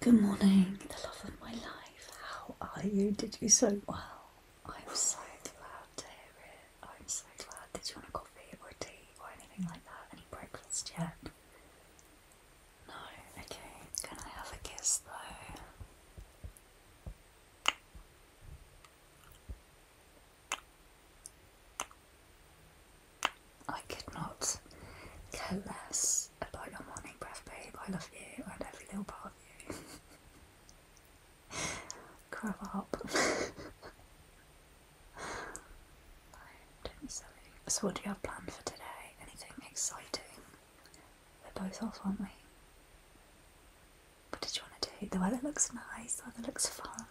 Good morning, the love of my life. How are you? Did you so well? I'm so glad to hear it. I'm so glad. Did you want a coffee or tea or anything like that? Any breakfast yet? No? Okay. Can I have a kiss though? I could not care less about your morning breath, babe. I love you and every little part of you. Grow up. no, So, what do you have planned for today? Anything exciting? We're both off, aren't we? What did you want to do? The weather looks nice, the weather looks fun.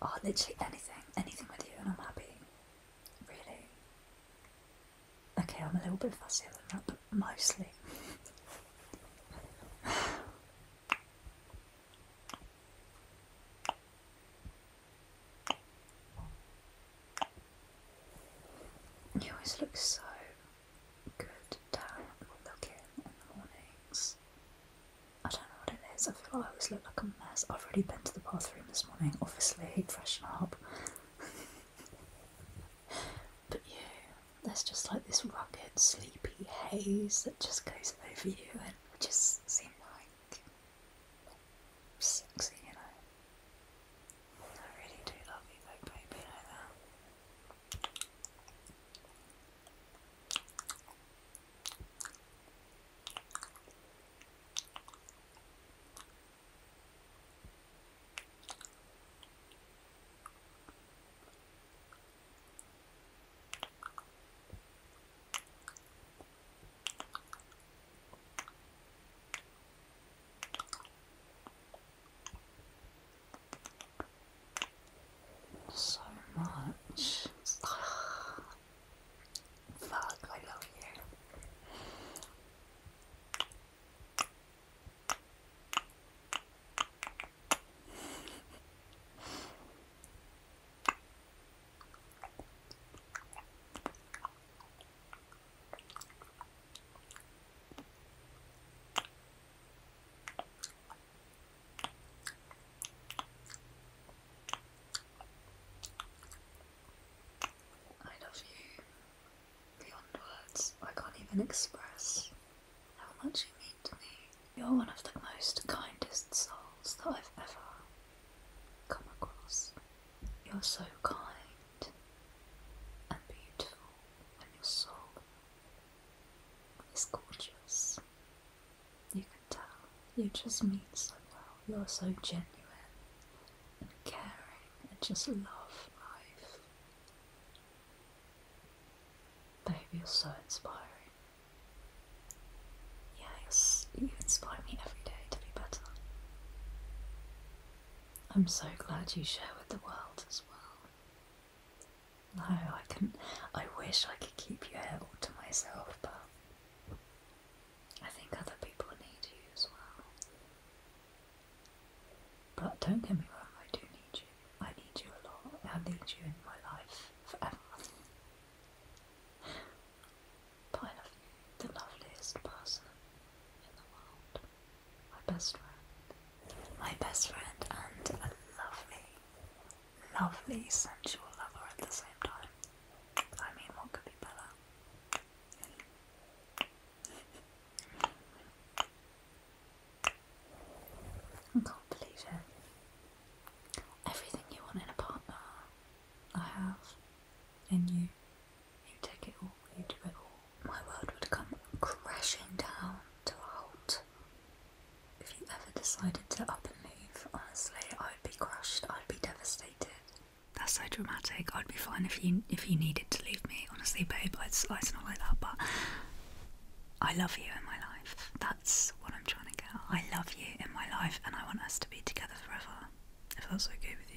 Oh, literally anything, anything with you, and I'm happy really. Okay, I'm a little bit fussier than that, but mostly. You always look so good down looking in the mornings. I don't don't what it is. I feel like I always look like a mess. I've already been to the bathroom this morning, obviously, freshen up. but yeah, there's just like this rugged, sleepy haze that just goes over you and just seems like sexy, you know. I really do love you baby, like that. So much. Fuck, I love you. I love you beyond words. I can't even express how much you mean to me. You're one of the most kindest souls that I've ever come across. You're so kind and beautiful, and your soul is gorgeous. You just meet so well. You're so genuine and caring and just love life. baby. you're so inspiring. Yes, you inspire me every day to be better. I'm so glad you share with the world as well. No, I can. I wish I could keep you all to myself, but I think other people need you as well. But don't get me wrong, I do need you. I need you a lot. I need you in my life forever. but love the loveliest person in the world. My best friend. My best friend and a lovely, lovely sensual lover at the same time. I mean, what could be better? I can't believe it. Everything you want in a partner, I have in you. You take it all, you do it all. My world would come crashing down to a halt if you ever decided to up and leave, honestly, I'd be crushed. I'd be devastated. That's so dramatic. I'd be fine if you if you needed to leave me. Honestly, babe, it's, it's not like that. But I love you in my life. That's what I'm trying to get. I love you in my life, and I want us to be together forever. If that's okay with you.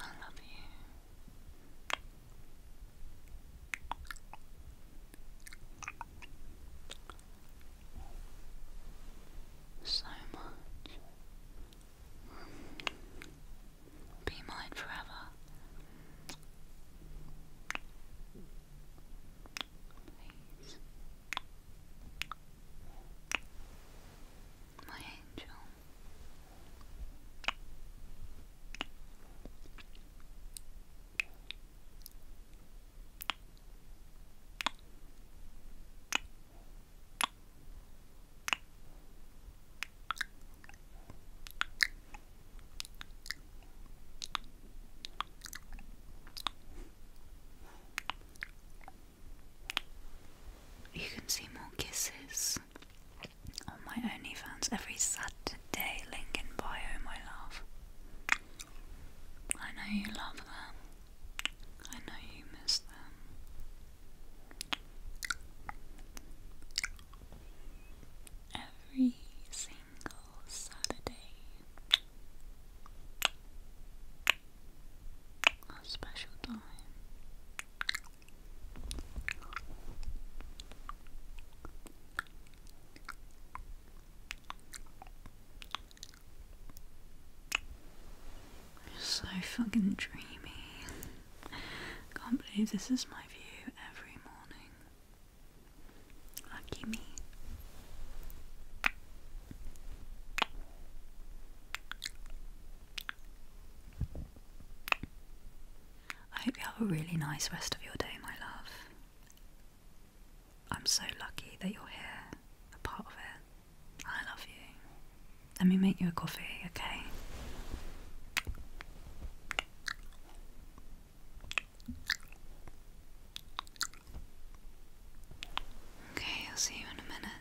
I love you. So much. Be mine forever please. My angel. You can see more kisses on my OnlyFans every Saturday. Link bio, my love. I know you love them. I know you miss them. Every single Saturday a special time. So fucking dreamy. Can't believe this is my view every morning. Lucky me. I hope you have a really nice rest of your day, my love. I'm so lucky that you're here, a part of it. I love you. Let me make you a coffee, okay? Okay, I'll see you in a minute.